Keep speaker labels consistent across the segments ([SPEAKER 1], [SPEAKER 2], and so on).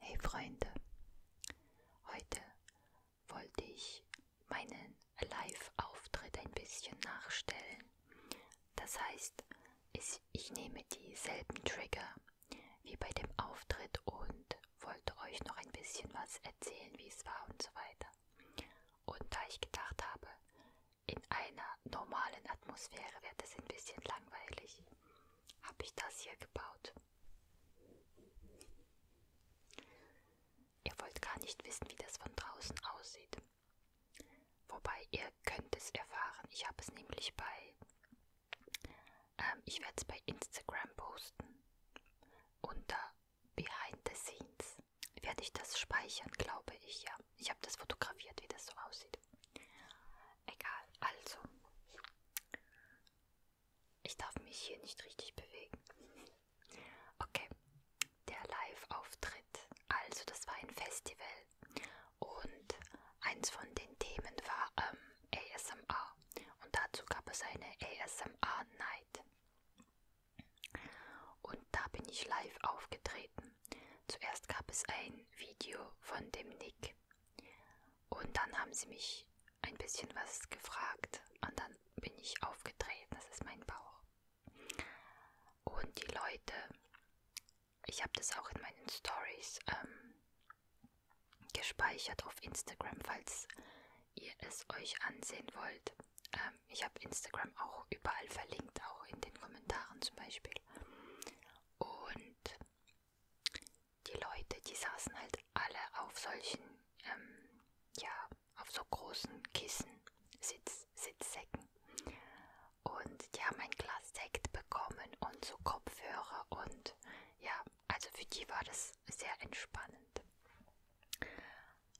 [SPEAKER 1] Hey Freunde, heute wollte ich meinen Live-Auftritt ein bisschen nachstellen. Das heißt, ich nehme dieselben Trigger wie bei dem Auftritt und wollte euch noch ein bisschen was erzählen, wie es war und so weiter. Und da ich gedacht habe, in einer normalen Atmosphäre wird es ein bisschen langweilig, habe ich das hier gebaut. Ihr wollt gar nicht wissen, wie das von draußen aussieht. Wobei ihr könnt es erfahren. Ich habe es nämlich bei... Ähm, ich werde es bei Instagram posten. Unter Behind the Scenes werde ich das speichern, glaube ich, ja. Ich habe das fotografiert, wie das so aussieht aussieht. Egal, also. Ich darf mich hier nicht richtig bewegen. Okay, der Live-Auftritt. Also, das war ein Festival. Und eins von den Themen war ähm, ASMR. Und dazu gab es eine ASMR-Night. Und da bin ich live aufgetreten. Zuerst gab es ein Video von dem Nick Musik. Und dann haben sie mich ein bisschen was gefragt und dann bin ich aufgetreten. Das ist mein Bauch. Und die Leute, ich habe das auch in meinen Stories ähm, gespeichert auf Instagram, falls ihr es euch ansehen wollt. Ähm, ich habe Instagram auch überall verlinkt, auch in den Kommentaren zum Beispiel. Und die Leute, die saßen halt alle auf solchen, ähm, ja, auf so großen Kissen, Sitz, Sitzsäcken. Und die haben ein Glas Sekt bekommen und so Kopfhörer und ja, also für die war das sehr entspannend.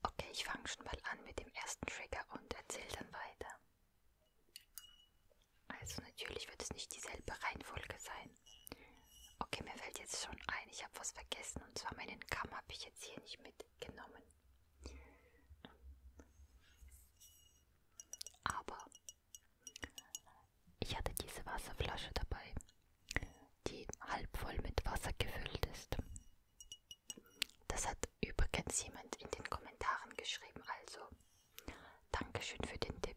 [SPEAKER 1] Okay, ich fange schon mal an mit dem ersten Trigger und erzähle dann weiter. Also natürlich wird es nicht dieselbe Reihenfolge sein. Okay, mir fällt jetzt schon ein, ich habe was vergessen und zwar meinen Kamm habe ich jetzt hier nicht mitgenommen. Aber ich hatte diese Wasserflasche dabei, die halb voll mit Wasser gefüllt ist. Das hat übrigens jemand in den Kommentaren geschrieben, also Dankeschön für den Tipp.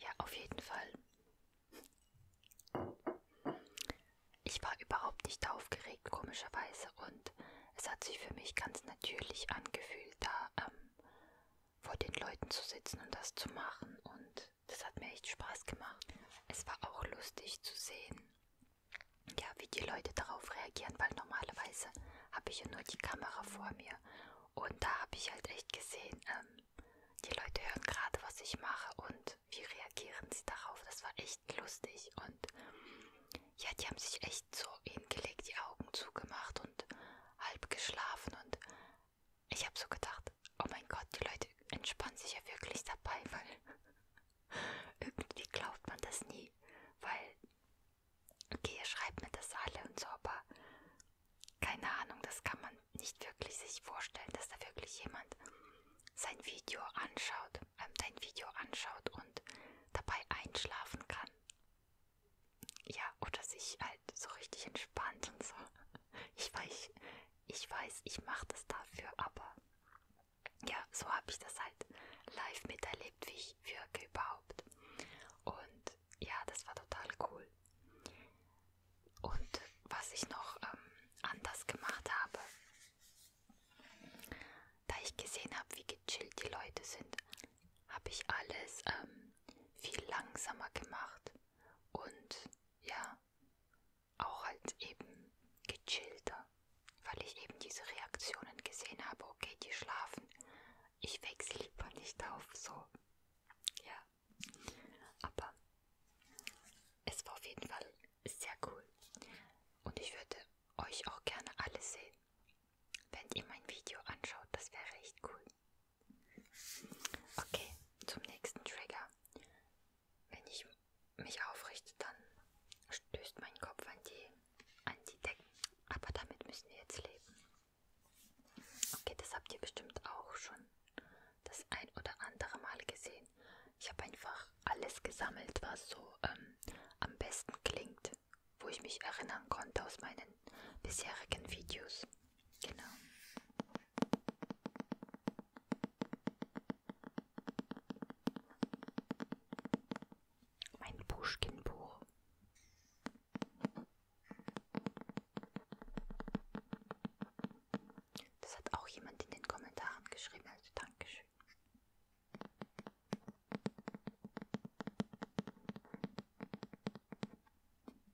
[SPEAKER 1] Ja, auf jeden Fall. Ich war überhaupt nicht aufgeregt, komischerweise, und es hat sich für mich ganz natürlich angefühlt, da ähm, vor den Leuten zu sitzen und das zu machen. Und das hat mir echt Spaß gemacht. Es war auch lustig zu sehen, ja, wie die Leute darauf reagieren, weil normalerweise habe ich ja nur die Kamera vor mir. Und da habe ich halt echt gesehen, ähm, die Leute hören gerade, was ich mache und wie reagieren sie darauf. Das war echt lustig. Und ja, die haben sich echt so hingelegt, die Augen zugemacht und halb geschlafen. Und ich habe so gedacht, oh mein Gott, die Leute entspannen sich ja wirklich dabei, weil irgendwie glaubt man das nie. Weil, okay, ihr schreibt mir das alle und so, aber keine Ahnung, das kann man nicht wirklich sich vorstellen, dass da wirklich jemand sein Video anschaut, ähm, dein Video anschaut und dabei einschlafen kann ja, oder sich halt so richtig entspannt und so. Ich weiß, ich weiß, ich mache das dafür, aber ja, so habe ich das halt live miterlebt, wie ich wirke überhaupt. Und ja, das war total cool. Und was ich noch ähm, anders gemacht habe, da ich gesehen habe, wie gechillt die Leute sind, habe ich alles ähm, viel langsamer gemacht und ja, auch halt eben gechillter, weil ich eben diese Reaktionen gesehen habe, okay, die schlafen, ich wechsle lieber nicht auf, so, ja, aber es war auf jeden Fall sehr cool und ich würde euch auch gerne alle sehen, wenn ihr mein Video anschaut, das wäre echt cool. Okay, zum nächsten Trigger. Wenn ich mich aufrichte, dann stößt mein Kopf an die, an die Decken. Aber damit müssen wir jetzt leben. Okay, das habt ihr bestimmt auch schon das ein oder andere Mal gesehen. Ich habe einfach alles gesammelt, was so ähm, am besten klingt, wo ich mich erinnern konnte aus meinen bisherigen Videos. Genau. Mein Pushkin-Buch. Das hat auch jemand in den Kommentaren geschrieben, also Dankeschön.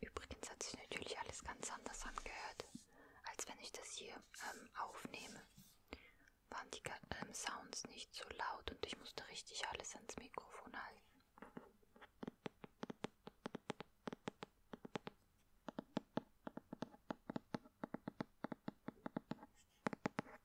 [SPEAKER 1] Übrigens hat sich natürlich alles ganz anders angehört, als wenn ich das hier ähm, aufnehme. Waren die ähm, Sounds nicht so laut und ich musste richtig alles ans Mikrofon halten.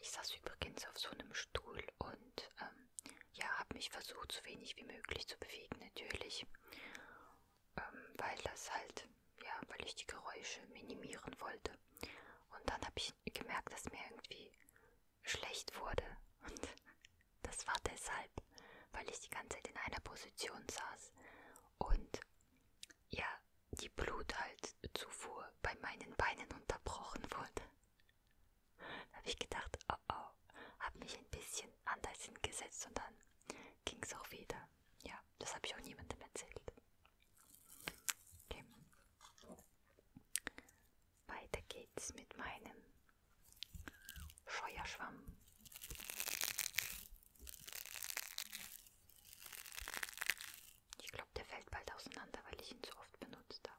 [SPEAKER 1] Ich saß übrigens auf so einem Stuhl und ähm, ja, habe mich versucht, so wenig wie möglich zu bewegen, natürlich, ähm, weil das halt, ja, weil ich die Geräusche minimieren wollte. Und dann habe ich gemerkt, dass mir irgendwie schlecht wurde. Und das war deshalb, weil ich die ganze Zeit in einer Position saß und ja, die Bluthaltzufuhr bei meinen Beinen unterbrochen wurde. Da habe ich gedacht, oh oh, habe mich ein bisschen anders hingesetzt und dann ging es auch wieder. Ja, das habe ich auch niemandem erzählt. Okay. Weiter geht's mit meinem Scheuerschwamm. Ich glaube, der fällt bald auseinander, weil ich ihn so oft benutzt habe.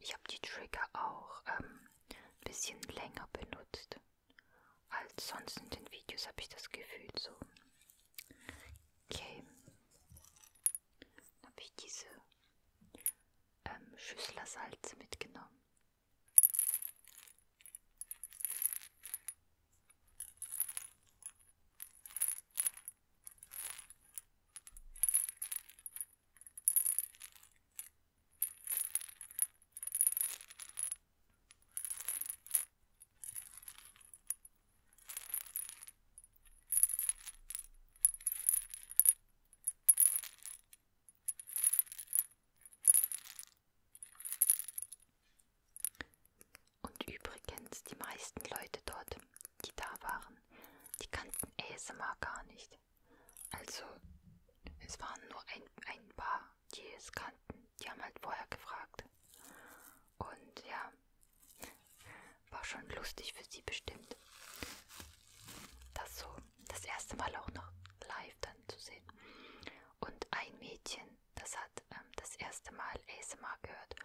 [SPEAKER 1] Ich habe die Trigger auch ähm, ein bisschen länger benutzt als sonst in den Videos, habe ich das Gefühl so. Okay. Dann habe ich diese ähm, Schüssler Salz mitgenommen. Und übrigens, die meisten Leute dort, die da waren, die kannten ASMR gar nicht. Also, es waren nur ein, ein paar, die es kannten. Die haben halt vorher gefragt. Und ja, war schon lustig für sie bestimmt. Das so, das erste Mal auch noch live dann zu sehen. Und ein Mädchen, das hat ähm, das erste Mal ASMR gehört.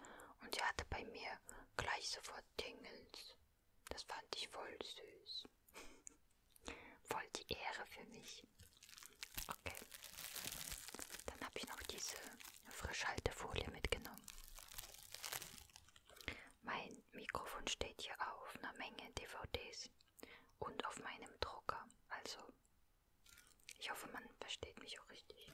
[SPEAKER 1] Und die hatte bei mir gleich sofort Tingles das fand ich voll süß. Voll die Ehre für mich. Okay. Dann habe ich noch diese Frischhaltefolie mitgenommen. Mein Mikrofon steht hier auf einer Menge DVDs und auf meinem Drucker. Also, ich hoffe, man versteht mich auch richtig.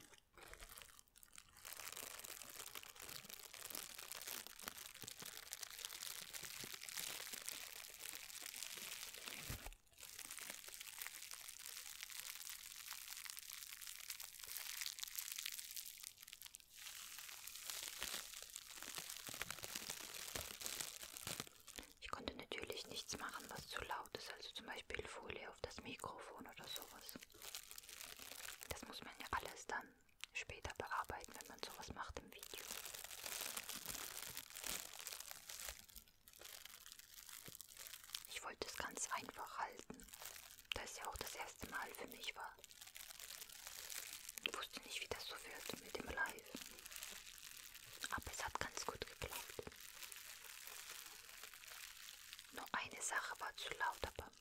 [SPEAKER 1] Ich konnte natürlich nichts machen, was zu laut ist, also zum Beispiel Folie auf das Mikrofon oder sowas. Das muss man ja alles dann später bearbeiten, wenn man sowas macht im Video. Ich wollte es ganz einfach halten, da es ja auch das erste Mal für mich war. Ich wusste nicht, wie das so wird mit dem Live. Aber es hat ganz gut geklappt. Nur eine Sache war zu laut, aber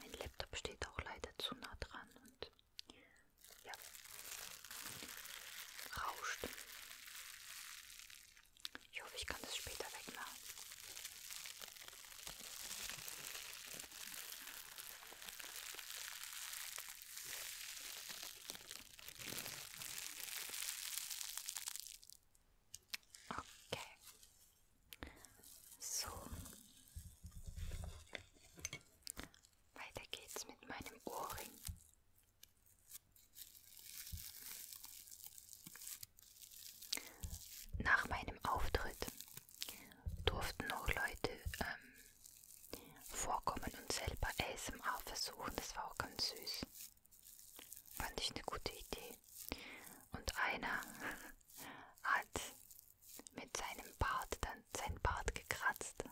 [SPEAKER 1] Mein Laptop steht auch leider zu nah dran und ja, rauscht. Ich hoffe, ich kann das später wegmachen. Okay. So. Weiter geht's mit meinem Ohrring. Nach meinem Auftritt durften noch Leute ähm, vorkommen und selber ASMR versuchen. Das war auch ganz süß. Fand ich eine gute Idee. Und einer hat mit seinem Bart dann sein Bart gekratzt.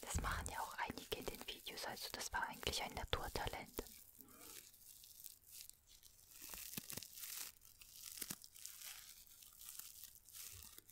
[SPEAKER 1] Das machen ja auch einige in den Videos, also das war eigentlich ein Naturtalent.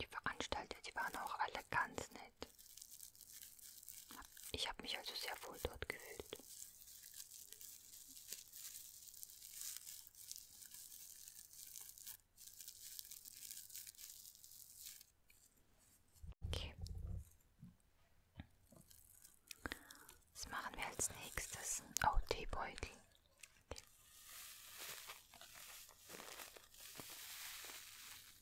[SPEAKER 1] Die Veranstalter, die waren auch alle ganz nett. Ich habe mich also sehr wohl dort gefühlt. Okay. Was machen wir als nächstes? Oh, Teebeutel.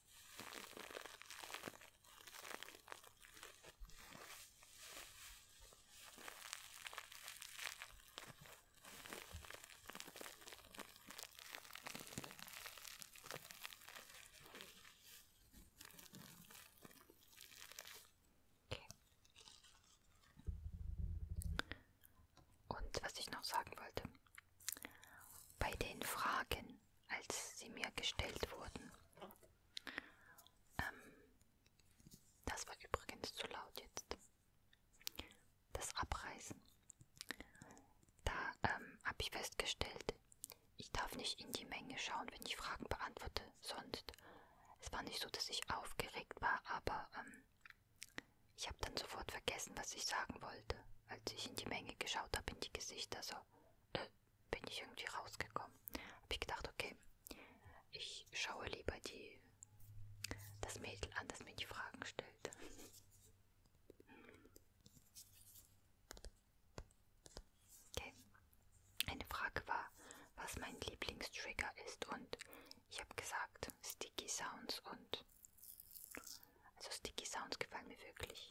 [SPEAKER 1] Okay. Und was ich noch sagen wollte, bei den Fragen, als sie mir gestellt wurden. Ähm, das war übrigens zu laut jetzt. Das Abreißen. Da ähm, habe ich festgestellt, ich darf nicht in die Menge schauen, wenn ich Fragen beantworte. Sonst, es war nicht so, dass ich aufgeregt war, aber ähm, ich habe dann sofort vergessen, was ich sagen wollte als ich in die Menge geschaut habe, in die Gesichter, so äh, bin ich irgendwie rausgekommen. Habe ich gedacht, okay, ich schaue lieber die, das Mädel an, das mir die Fragen stellt. Okay. Eine Frage war, was mein Lieblingstrigger ist und ich habe gesagt Sticky Sounds und also Sticky Sounds gefallen mir wirklich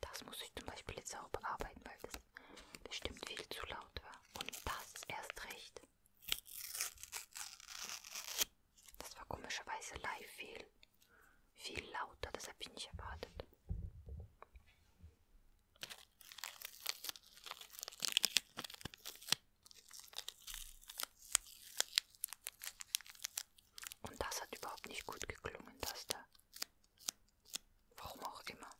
[SPEAKER 1] Das muss ich zum Beispiel jetzt auch bearbeiten, weil das bestimmt viel zu laut war. Und das erst recht. Das war komischerweise live viel, viel lauter, das habe ich nicht erwartet. Und das hat überhaupt nicht gut geklungen, das da. Warum auch immer.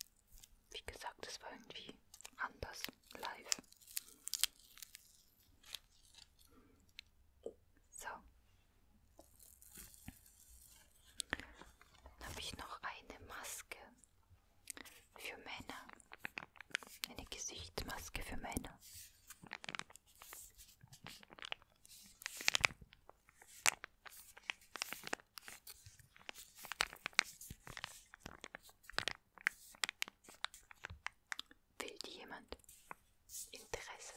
[SPEAKER 1] Wie gesagt, es war irgendwie anders live. So. Dann habe ich noch eine Maske für Männer. Eine Gesichtsmaske für Männer. Will die jemand? Interesse?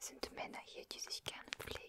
[SPEAKER 1] Sind Männer hier, die sich gerne pflegen?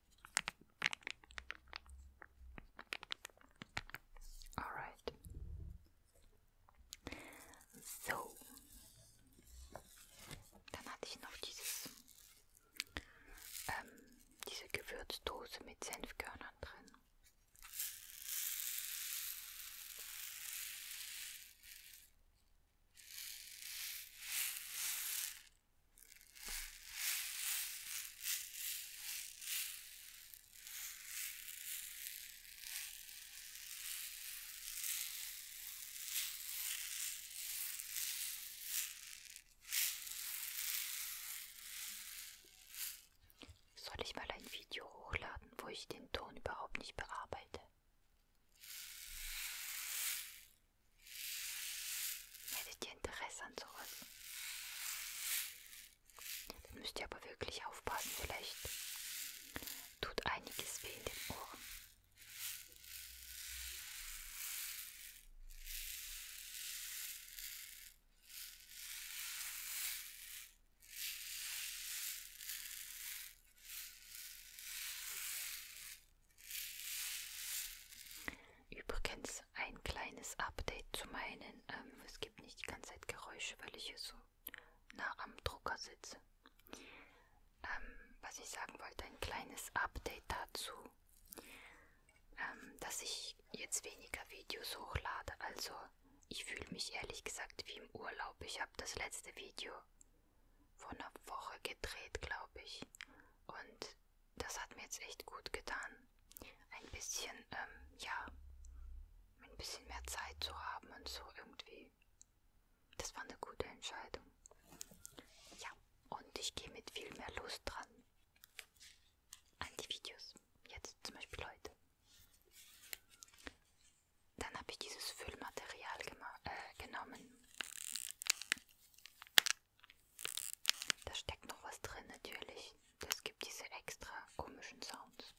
[SPEAKER 1] Alright. So. Dann hatte ich noch dieses, ähm, diese Gewürzdose mit Senfkörnern drin. Soll ich mal ein Video hochladen, wo ich den Ton überhaupt nicht bearbeite? Hättet ihr Interesse an sowas? Dann müsst ihr aber wirklich aufpassen, vielleicht tut einiges weh in den Ohren. Übrigens ein kleines Update zu meinen. Ähm, es gibt nicht die ganze Zeit Geräusche, weil ich hier so nah am Drucker sitze. Ähm, was ich sagen wollte, ein kleines Update dazu, ähm, dass ich jetzt weniger Videos hochlade. Also ich fühle mich ehrlich gesagt wie im Urlaub. Ich habe das letzte Video vor einer Woche gedreht, glaube ich. Und das hat mir jetzt echt gut getan. Ein bisschen, ähm, ja, ein bisschen mehr Zeit zu haben und so irgendwie. Das war eine gute Entscheidung. Ja, und ich gehe mit viel mehr Lust dran an die Videos. Jetzt zum Beispiel heute. Dann habe ich dieses Füllmaterial äh, genommen. Da steckt noch was drin natürlich. Das gibt diese extra komischen Sounds.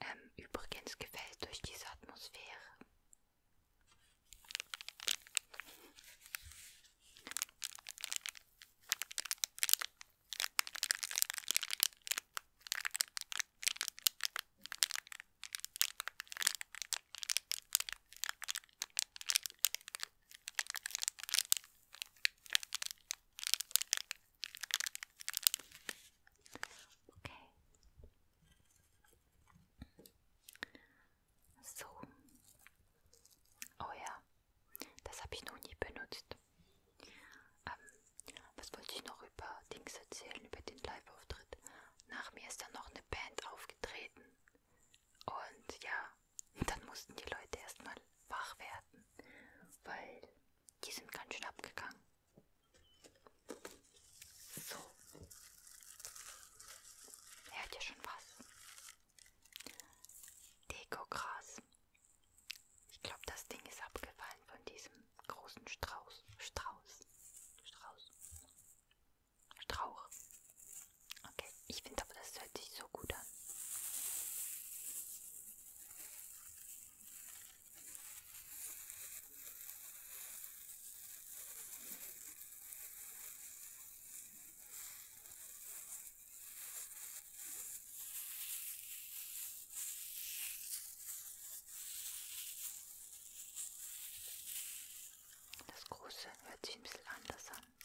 [SPEAKER 1] Ähm, übrigens gefällt durch diese Atmosphäre. Okay. So. Oh ja, das habe ich noch nie benutzt. Ähm, was wollte ich noch über Dings erzählen, über den Live-Auftritt? Nach mir ist dann noch eine Band aufgetreten. Und ja, dann mussten die Leute erstmal wach werden, weil die sind ganz schön abgegangen. So. Er hat ja schon was. Dekogras. Ich glaube, das Ding ist abgefallen von diesem großen Strauß. Strauß. Strauß. Strauch. Okay, ich finde aber, das hört sich so gut an. Das große hört sich ein bisschen anders an.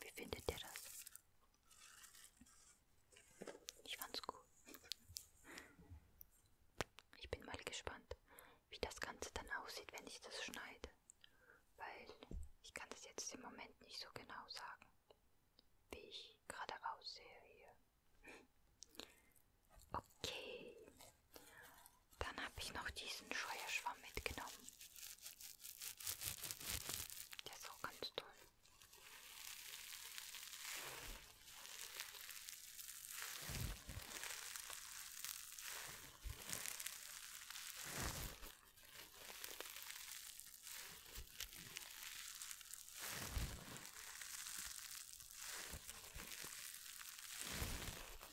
[SPEAKER 1] Wie findet ihr das? Ich fand's gut. Ich bin mal gespannt, wie das Ganze dann aussieht, wenn ich das schneide. Weil ich kann das jetzt im Moment nicht so genau sagen, wie ich gerade aussehe hier. Okay. Dann habe ich noch diesen Scheuerschwamm mitgenommen. Der ist auch ganz toll.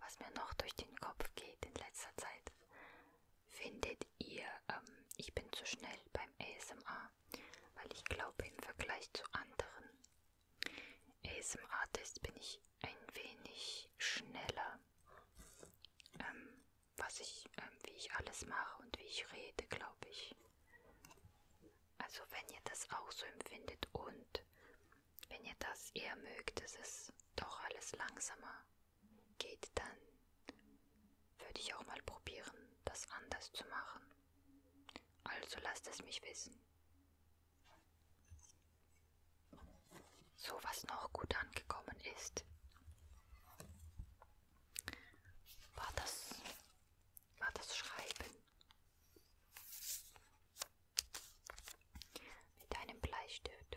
[SPEAKER 1] was mir noch durch den Kopf geht in letzter Zeit. Findet ihr, ähm, ich bin zu schnell beim ASMR, weil ich glaube, im Vergleich zu anderen ASMR-Tests bin ich ein wenig schneller, ähm, was ich, ähm, wie ich alles mache und wie ich rede, glaube ich. Also wenn ihr das auch so empfindet und wenn ihr das eher mögt, ist es doch alles langsamer. Geht dann, würde ich auch mal probieren, das anders zu machen. Also lasst es mich wissen. So was noch gut angekommen ist, war das, war das Schreiben. Mit einem Bleistift.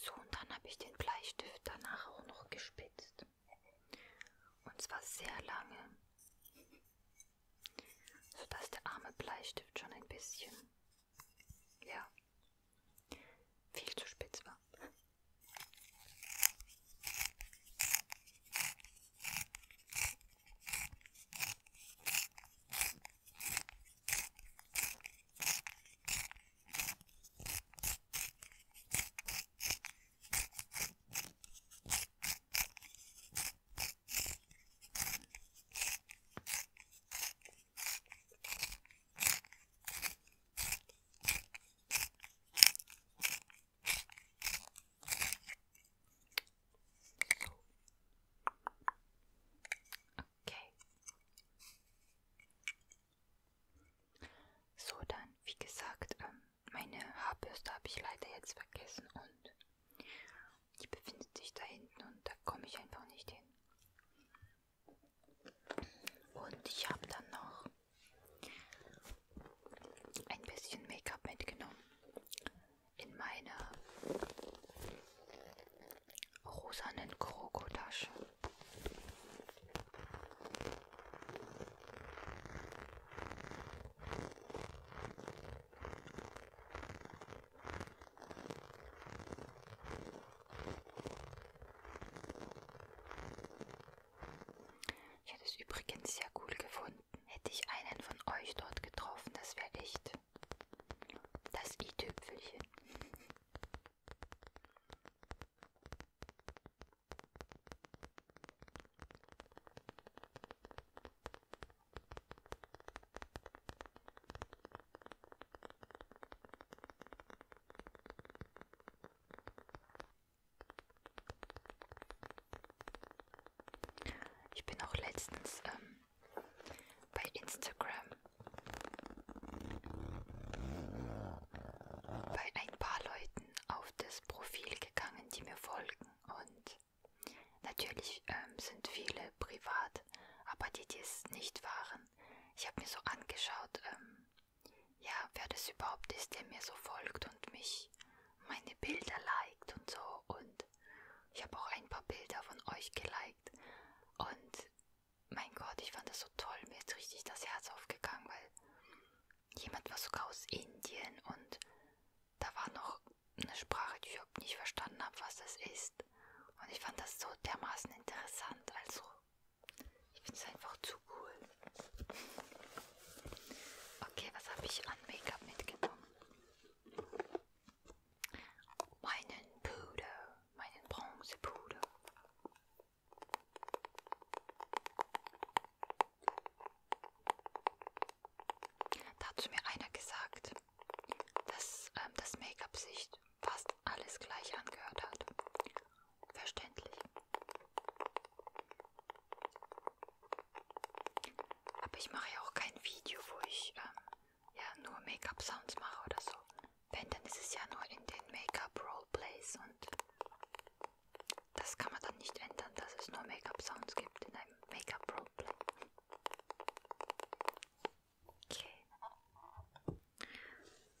[SPEAKER 1] So, und dann habe ich den Bleistift danach auch noch gespitzt. Und zwar sehr lange, sodass der arme Bleistift schon ein bisschen, ja, viel zu spitz war. Okay. So, dann, wie gesagt, ähm, meine Haarbürste habe ich leider jetzt vergessen und die befindet sich da hinten und da komme ich einfach nicht hin. Und ich habe dann noch ein bisschen Make-up mitgenommen in meiner rosanen Krokotasche. Ich hätte es übrigens sehr cool gefunden, hätte ich einen von euch dort getroffen, das wäre echt das i-Tüpfelchen. Ich bin auch letztens ähm, bei Instagram bei ein paar Leuten Leuten auf das Profil gegangen, die mir folgen. Und natürlich ähm, sind viele privat, aber die, die es nicht waren. Ich habe mir so angeschaut, ähm, ja, wer das überhaupt ist, der mir so folgt und mich meine Bilder liked und so. Und ich habe auch ein paar Bilder von euch geliked. Und mein Gott, ich fand das so toll. Mir ist richtig das Herz aufgegangen, weil Jemand war sogar aus Indien und da war noch eine Sprache, die ich überhaupt nicht verstanden habe, was das ist. Und ich fand das so dermaßen interessant. Also, ich finde es einfach zu cool. Okay, was habe ich an Make-up mitgenommen? Meinen Puder, meinen Bronzepuder. Da hat zu mir einer gesagt, dass ähm, das Make-up sich fast alles gleich angehört hat. Verständlich. Aber ich mache ja auch kein Video, wo ich ähm, ja, nur Make-up-Sounds mache oder so. Wenn, dann ist es ja nur in den Make-up-Roleplays und das kann man dann nicht ändern, dass es nur Make-up-Sounds gibt in einem Make-up-Roleplay. Okay.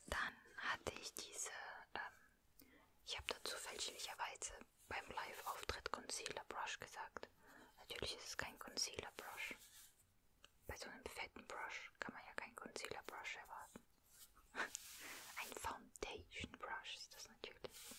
[SPEAKER 1] Dann hatte ich diese, ähm, ich habe dazu fälschlicherweise beim Live-Auftritt Concealer Brush gesagt. Natürlich ist es kein Concealer Brush. Bei so einem fetten Brush kann man ja keinen Concealer Brush erwarten. Ein Foundation Brush ist das natürlich.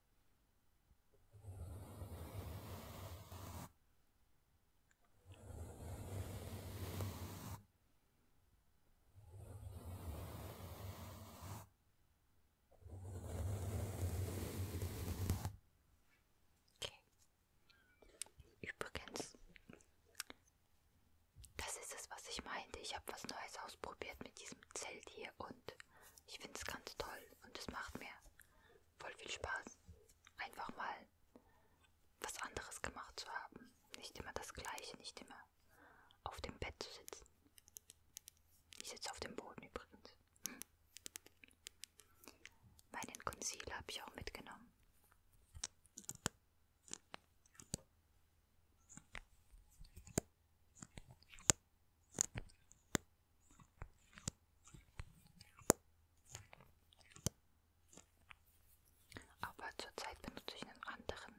[SPEAKER 1] Okay. Übrigens, das ist es, was ich meinte. Ich habe was Neues ausprobiert mit diesem Zelt hier und ich finde es ganz toll und es macht mir voll viel Spaß, einfach mal was anderes gemacht zu haben. Nicht immer das Gleiche, nicht immer auf dem Bett zu sitzen. Ich sitze auf dem Boden übrigens. Hm. Meinen Concealer habe ich auch mitgenommen. Aber zurzeit benutze ich einen anderen.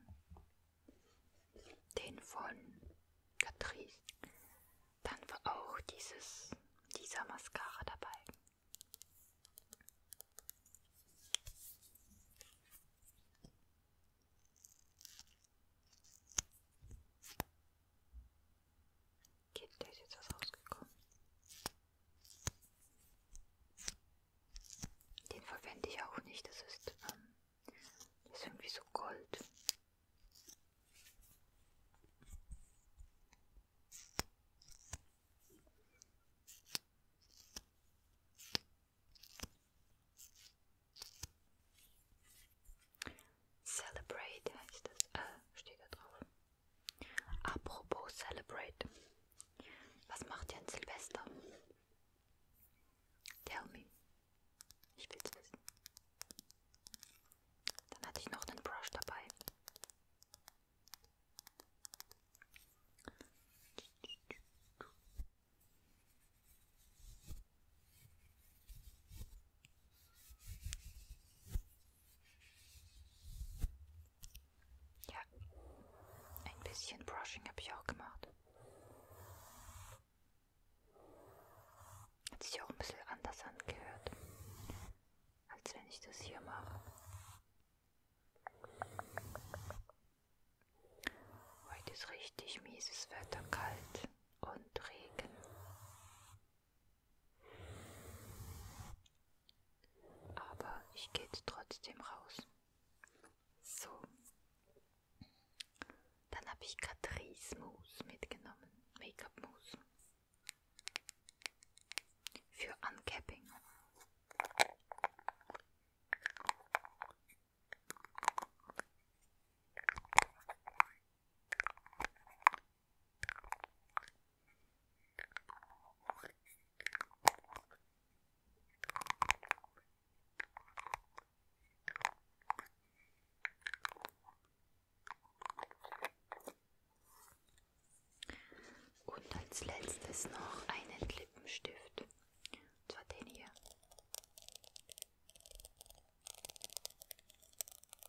[SPEAKER 1] Den von Catrice. Dann war auch dieses, dieser Mascara dabei. Kind, der ist jetzt was rausgekommen. Den verwende ich auch nicht, das ist, ähm, das ist irgendwie so Gold. Celebrate heißt es. Äh, steht da drauf. Apropos Celebrate. Was macht ihr an Silvester? Tell me. Ich will's wissen. Dann hatte ich noch einen Brush dabei. Ja, ein bisschen Brushing habe ich auch gemacht. Hat sich auch ein bisschen anders angehört, als wenn ich das hier mache. Heute ist richtig mieses Wetter kalt und Regen. Aber ich gehe trotzdem raus. So. Dann habe ich Catrice Mousse mitgenommen. Make-up Mousse. Für Uncapping. Und als letztes noch einen Lippenstift. Und zwar den hier.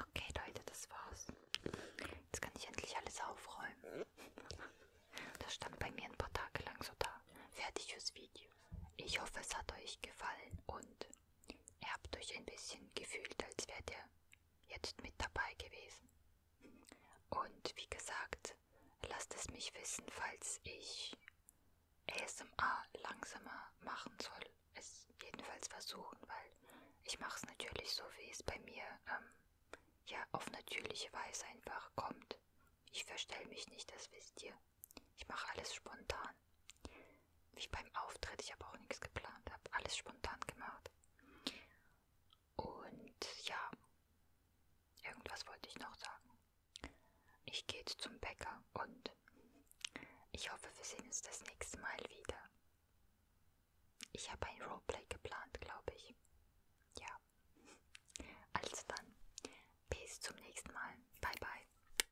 [SPEAKER 1] Okay, Leute, das war's. Jetzt kann ich endlich alles aufräumen. Das stand bei mir ein paar Tage lang so da. Fertig fürs Video. Ich hoffe, es hat euch gefallen und Ihr habt euch ein bisschen gefühlt, als wärt ihr jetzt mit dabei gewesen. Und wie gesagt, lasst es mich wissen, falls ich ASMR langsamer machen soll. Es jedenfalls versuchen, weil ich mache es natürlich so, wie es bei mir ähm, ja auf natürliche Weise einfach kommt. Ich verstelle mich nicht, das wisst ihr. Ich mache alles spontan. Wie beim Auftritt, ich habe auch nichts geplant, habe alles spontan gemacht. Und ja, irgendwas wollte ich noch sagen. Ich gehe jetzt zum Bäcker und ich hoffe, wir sehen uns das nächste Mal wieder. Ich habe ein Roleplay geplant, glaube ich. Ja. Also dann, bis zum nächsten Mal. Bye bye.